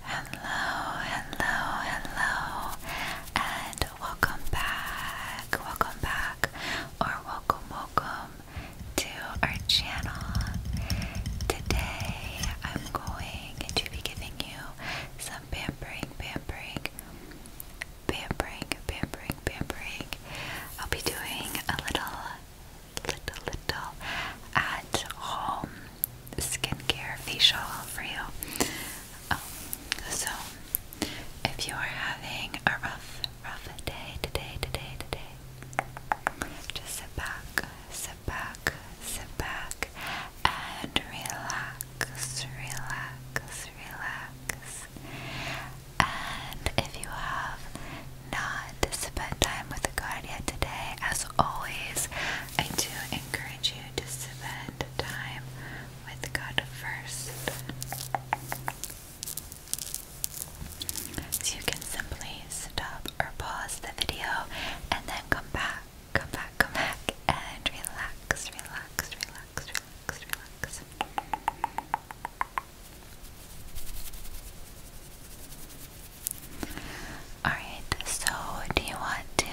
Hello, hello, hello, and welcome back, welcome back, or welcome, welcome to our channel. Today I'm going to be giving you some pampering, pampering, pampering, pampering, pampering. I'll be doing a little, little, little at home skincare facial for you. Um, so, if you are having a rough, rough day today, today, today, just sit back, sit back, sit back, and relax, relax, relax. And if you have not spent time with the card today, as always, I do encourage you to spend time with God first. you can simply stop or pause the video and then come back, come back, come back, and relax, relax, relax, relax, relax. Alright, so do you want to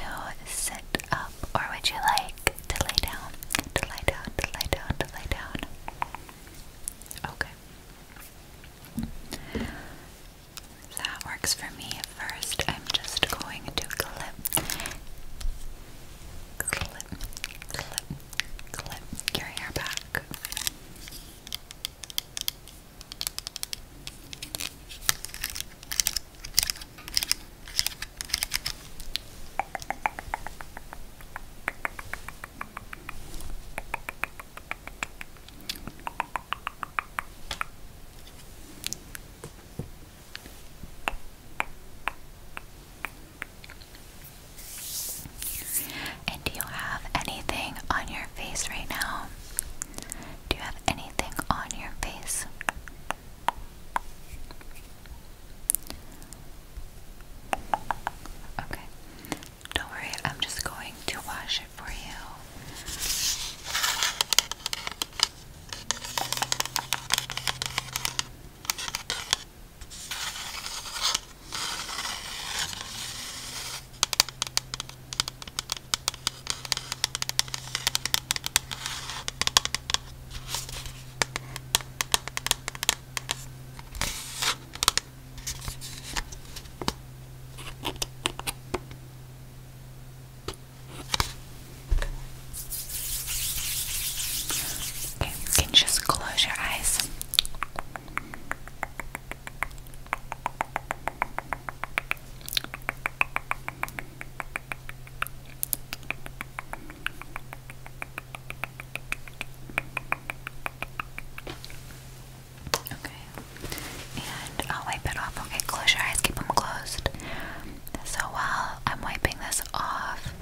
sit up or would you like to lay down? To lie down, to lie down, to lie down. Okay. That works for me. First, I'm just going to clip, clip, clip, clip your hair back. And do you have anything on your face right now do you have anything on your face? Okay. Don't worry, I'm just going to wash it for you. Okay, you can just close your eyes. Okay. And I'll wipe it off. Okay, close your eyes, keep them closed. So while I'm wiping this off,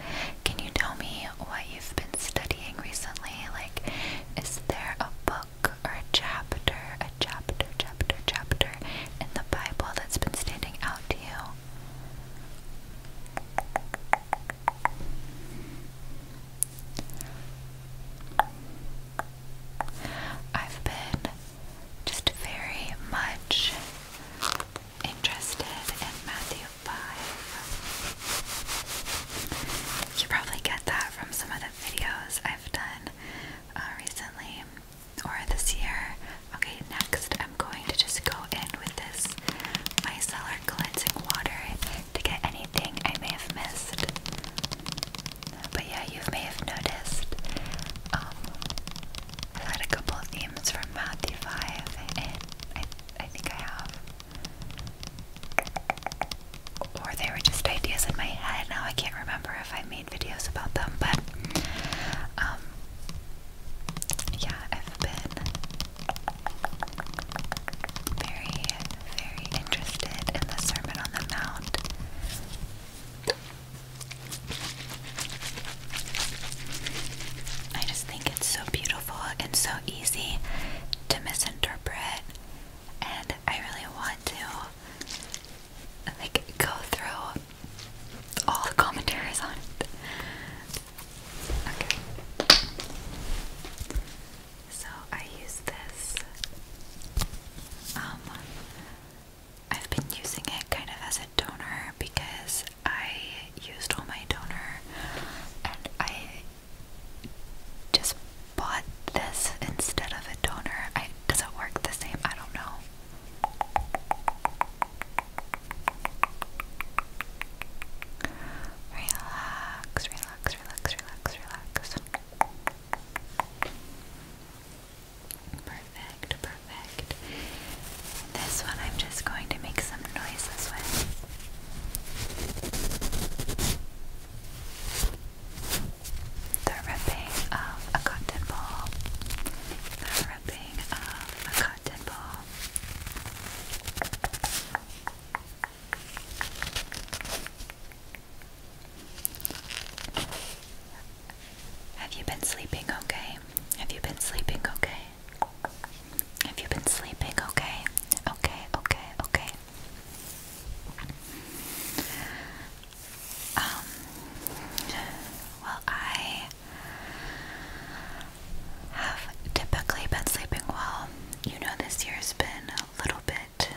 can you tell me what you've been studying recently? Like, is there a book? or a chapter, a chapter, chapter, chapter in the Bible that's been standing out to you? I've been just very much interested in Matthew 5. You probably get that from some of the videos I've done uh, recently or this year. Okay, next I'm going to just go in with this micellar cleansing water to get anything I may have missed. But yeah, you may have noticed um, i had a couple of themes from Matthew 5, and I think I have. Or they were just ideas in my head, now I can't remember if I made videos about them, but um, yeah, I've been very, very interested in the Sermon on the Mount. I just think it's so beautiful and so easy to misinterpret, and I really want to like go through all the commentaries on it. Okay. So I use this. Um I've been using it kind of as a donor because I used all my donor, and I just bought this instead of a toner. I, does it work the same? I don't know. Relax, relax, relax, relax, relax. Perfect, perfect. This one I'm just going to make some noises with the ripping of a cotton ball, the ripping of a cotton ball. Have you been sleeping okay? Have you been sleeping okay? Have you been sleeping okay? Okay, okay, okay. Um, well, I have typically been sleeping well. You know, this year's been a little bit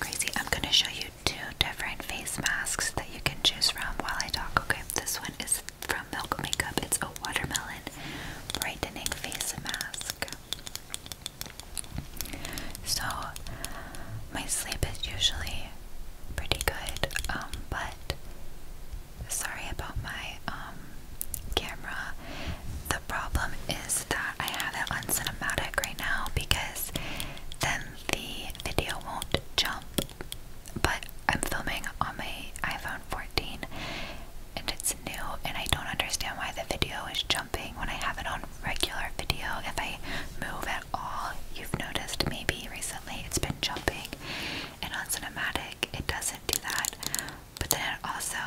crazy. I'm going to show you two different face masks that you can choose from while I talk. Okay, this one is from Milk Makeup, it's a watermelon brightening face mask. So my sleep is usually pretty good, um, but sorry about my um, camera. The problem is that I have it on cinematic right now because then the video won't jump. But I'm filming on my iPhone 14 and it's new, and I don't understand why the video is jumping when I have it on regular video. If I move at all, you've noticed maybe recently it's been jumping, and on cinematic it doesn't do that. But then also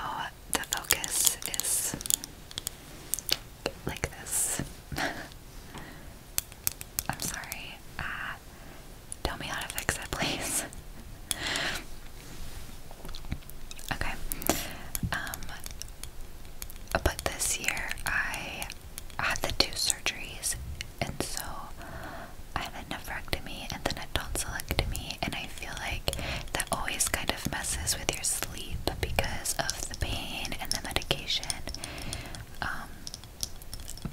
the focus is like this. I'm sorry. Uh, tell me how to fix it, please. okay. Um, but this year I had the two surgeries, and so I had a nephrectomy and then a tonsillectomy, and I feel like that always kind of messes with your sleep because of the pain and the medication. Um,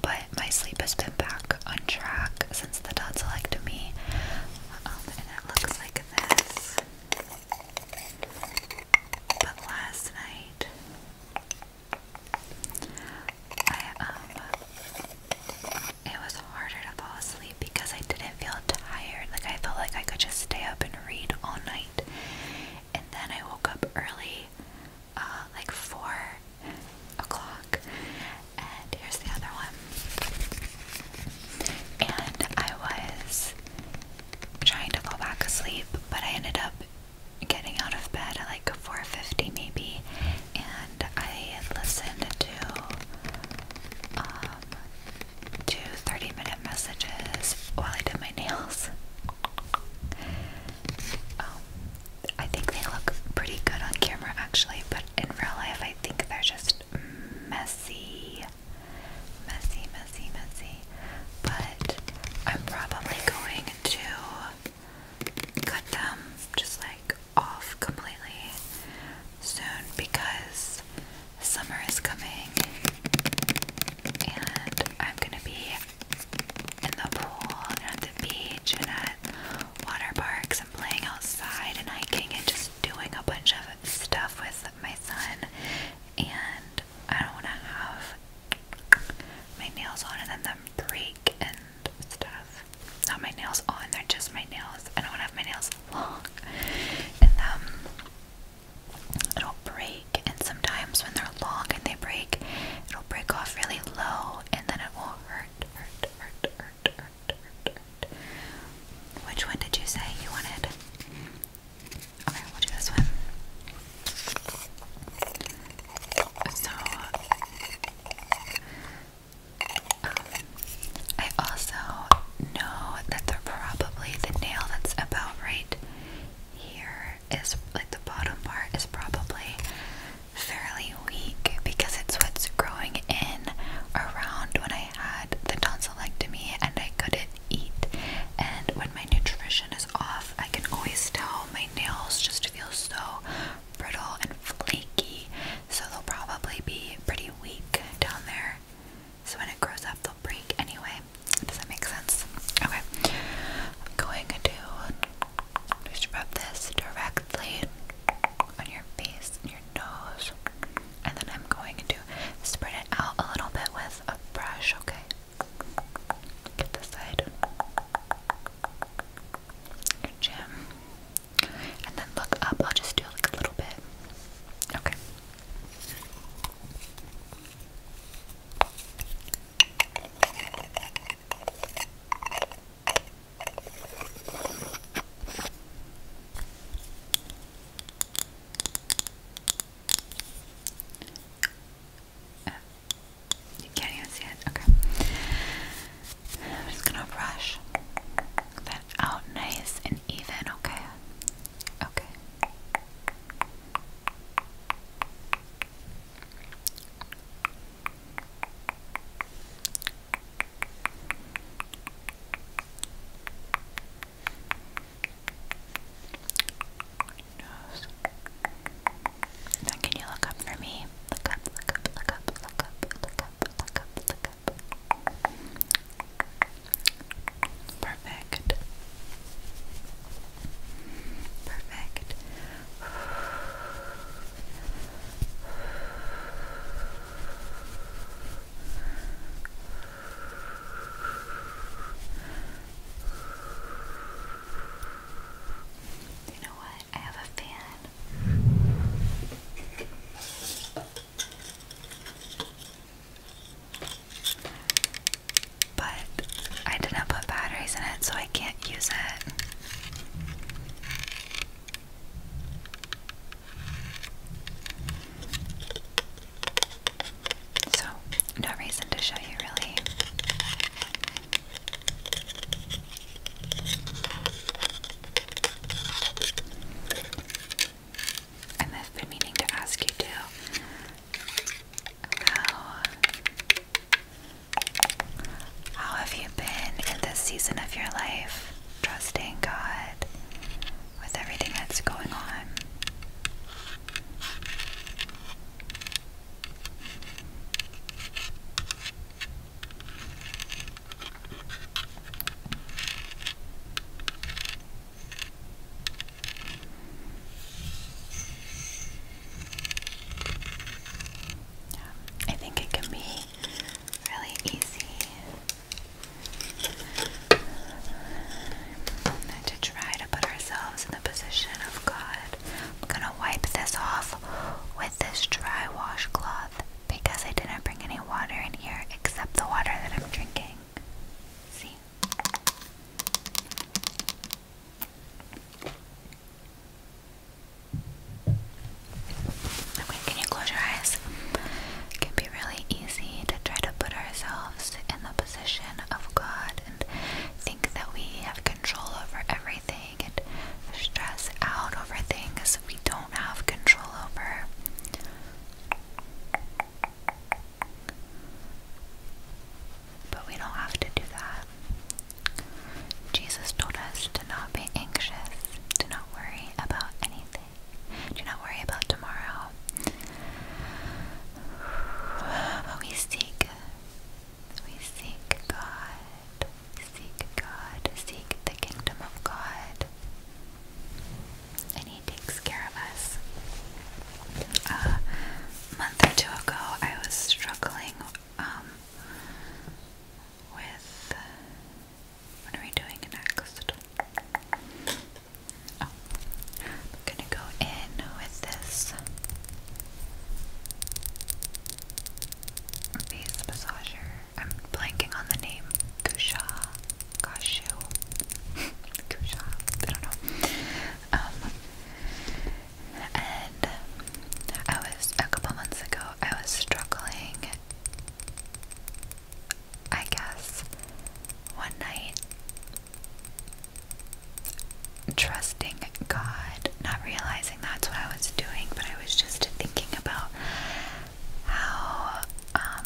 but my sleep has been back on track since the tonsillectomy, um, and it looks like this. But last night, I um, it was harder to fall asleep because I didn't feel tired. Like I felt like I could just stay up and read all night. And then I woke up early, uh, like four o'clock. And here's the other one. And I was trying to fall back asleep, but I ended up getting out of bed at like 4:50 maybe, and I listened to um, two 30-minute messages while I did my nails. Um, I think they look pretty good on camera actually, but in real life I think they're just messy messy, messy, messy. But I'm probably going to cut them just like off completely soon because summer is coming and I'm gonna be in the pool and at the beach and at water parks and playing outside and hiking and just doing a bunch of stuff with my son, and I don't want to have my nails on and then them break and stuff. Not my nails on, they're just my nails. I don't want to have my nails long and um, it'll break. And sometimes when they're long and they break, it'll break off really low and then it will hurt, hurt, hurt, hurt, hurt, hurt. hurt. Which one did you say you wanted? Okay, we'll do this one. So, um, I also know that the nail that's about right here is like the bottom part is probably fairly weak because it's what's growing in around when I had the tonsil tonsillectomy and I couldn't eat. And when my nutrition is off, I can always tell my nails just feel so brittle and flaky. So they'll probably be pretty weak down there. So when it grows up, they'll break anyway. Does that make sense? Okay. I'm going to just rub this directly on your face your nose. And then I'm going to spread it out a little bit with a brush, okay? Get the side. Your chin. And then look up. I'll just do like a little bit. Okay. Uh, you can't even see it. Okay. I'm just gonna brush that out nice and even. Okay. Okay nose. can you look up for me? Look up, look up, look up, look up, look up, look up, look up. Perfect. Perfect. You know what? I have a fan. But I didn't put batteries in it, so I can't use it. So, no reason to show you really. And I've been meaning to ask you too how, have you been in this season of your life, trusting God with everything that's going on? I think it can be really easy to try to put ourselves in the position of God. I'm gonna wipe this off with this dry washcloth because I didn't bring any water in here except the water that I'm drinking. See? Okay, can you close your eyes? It can be really easy to try to put ourselves in the of God and think that we have control over everything and stress out over things we don't have control over. But we don't have to do that. Jesus told us to not be anxious, to not worry about anything, do not worry about tomorrow but we seek, we seek God, seek God, seek the kingdom of God, and He takes care of us. a month or two ago, I was struggling um, with. What are we doing next? Oh. I'm gonna go in with this face massager. I'm blanking on the name. Kusha, Kashu, Kusha. I don't know. Um, and I was a couple months ago. I was struggling. I guess one night trusting God, not realizing that's what I was doing, but I was just thinking about how um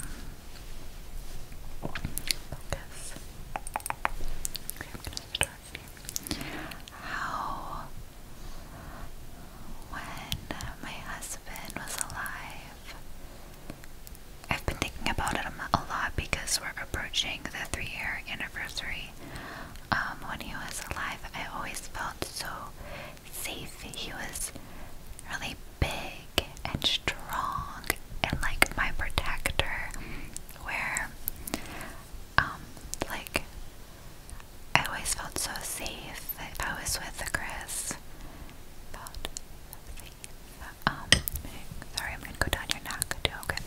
How when my husband was alive I've been thinking about it a lot because we're approaching the three year anniversary. Um, when he was alive, I always felt so safe. He was really big and strong and like my protector, where, um, like, I always felt so safe if I was with Chris. Felt um, sorry, I'm gonna go down your neck too, okay?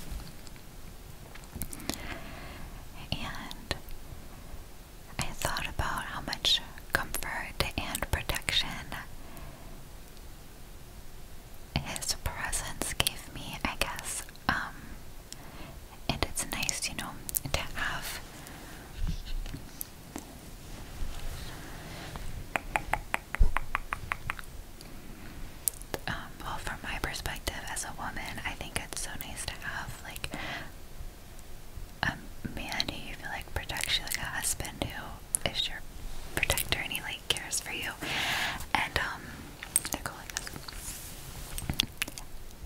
And I thought about how much comfort and protection his presence gave me, I guess. Um, and it's nice, you know, to have um, well, from my perspective as a woman, I think it's so nice to have like a man who you feel like protects you, like a husband who is your protector and he like cares for you. And um,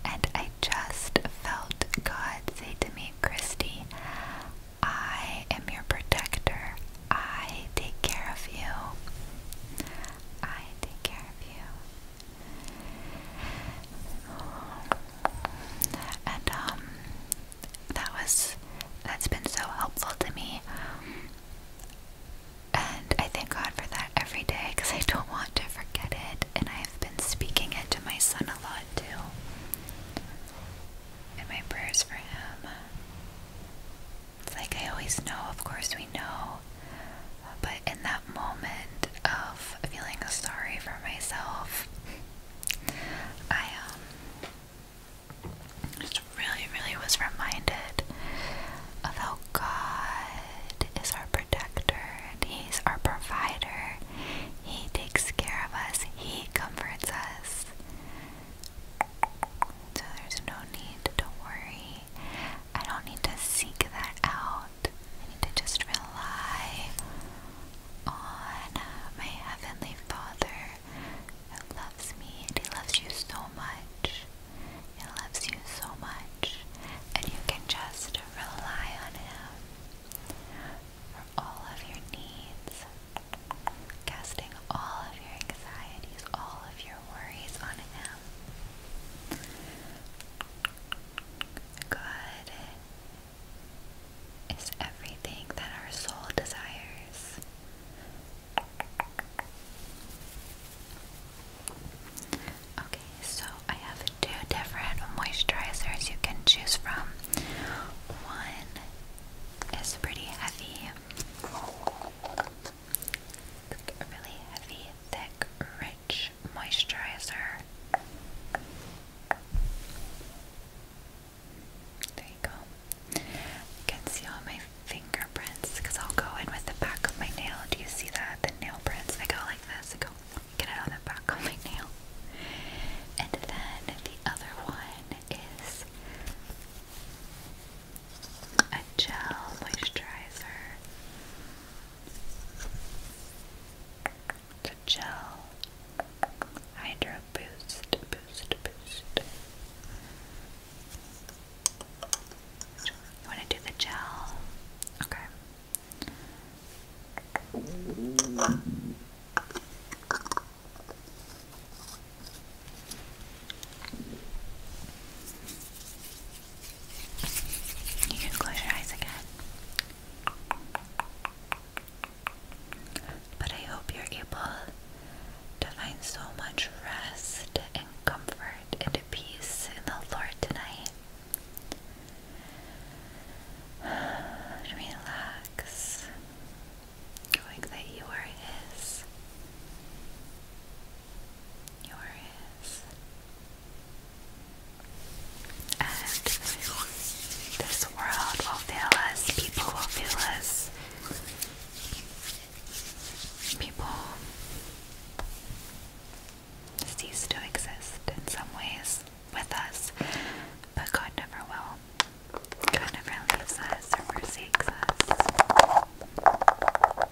And I just felt God say to me, Christy, I am your protector. I take care of you. I take care of you. And um that was that's been so helpful to me. And I thank God for that every day because I don't want to forget it. And I've been speaking it to my son a lot too. And my prayers for him. It's like I always know, of course we know, but in that moment of feeling sorry for myself, I um just really, really was reminded of how God is our protector and He's our provider. He takes care of us, He comforts us. So there's no need to worry. I don't need to seek that out. I need to just rely on my Heavenly Father who loves me and He loves you so much. He loves you so much. And you can just rely on Him for all of your needs, casting all of your anxieties, all of your your worries on him. God is everything that our soul desires. Okay, so I have two different moisturizers you can choose from. One is pretty heavy. It's a really heavy, thick, rich moisturizer. There you go. can see all my fingerprints because I'll go in with the back of my nail. Do you see that? The nail prints. I go like this. I go get it on the back of my nail. And then the other one is a gel moisturizer. It's a gel hydro boost, boost, boost. You want to do the gel? Okay. You can close your eyes again. But I hope you're able to find so much rest and comfort and peace in the Lord tonight. Relax, knowing that you are His. You're And this world will fail us, people will fail us. People cease to exist in some ways with us, but God never will. God never leaves us or forsakes us.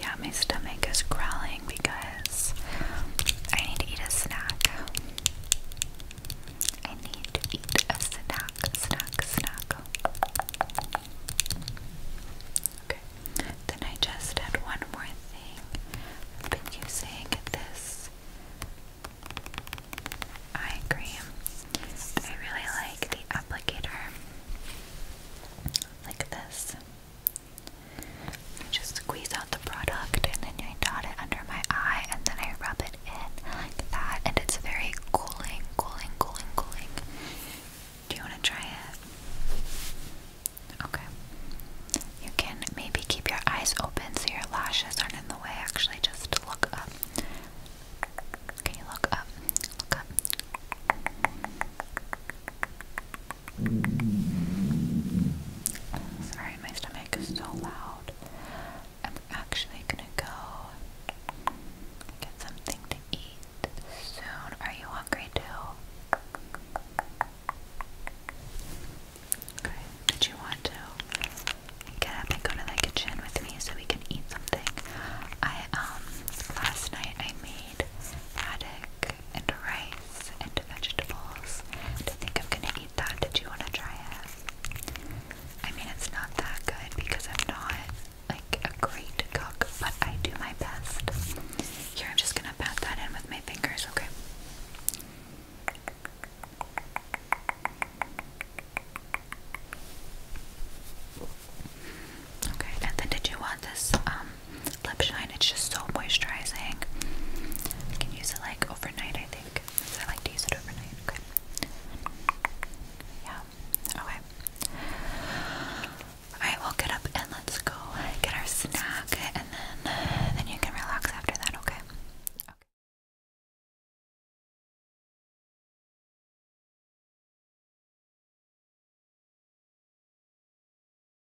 Yeah, my stomach is growling because I need to eat a snack. I need to eat a snack, snack, snack. Okay, then I just had one more thing. I've been using this eye cream. I really like the applicator, like this. I just squeeze out the product and then I dot it under my eye and then I rub it in like that and it's very cooling, cooling, cooling, cooling. Do you want to try it? Okay. You can maybe keep your eyes open so your lashes aren't in the way. Actually, just look up. Can you look up? Look up. Sorry, my stomach is so loud. I'm actually gonna go get something to eat soon. Are you hungry too? Okay. Did you want to get up and go to the kitchen with me so we can eat something? I um last night I made haddock and rice and vegetables. And I think I'm gonna eat that. Did you wanna try it? I mean, it's not that good because I'm not like a great cook, but I do my best. Here, I'm just gonna pat that in with my fingers, okay? Okay, and did you want this um, lip shine. It's just so moisturizing. You can use it like overnight, I think. So I like to use it overnight. Okay. Yeah. Okay. Alright, we'll get up and let's go get our snack and then then you can relax after that, okay? Okay.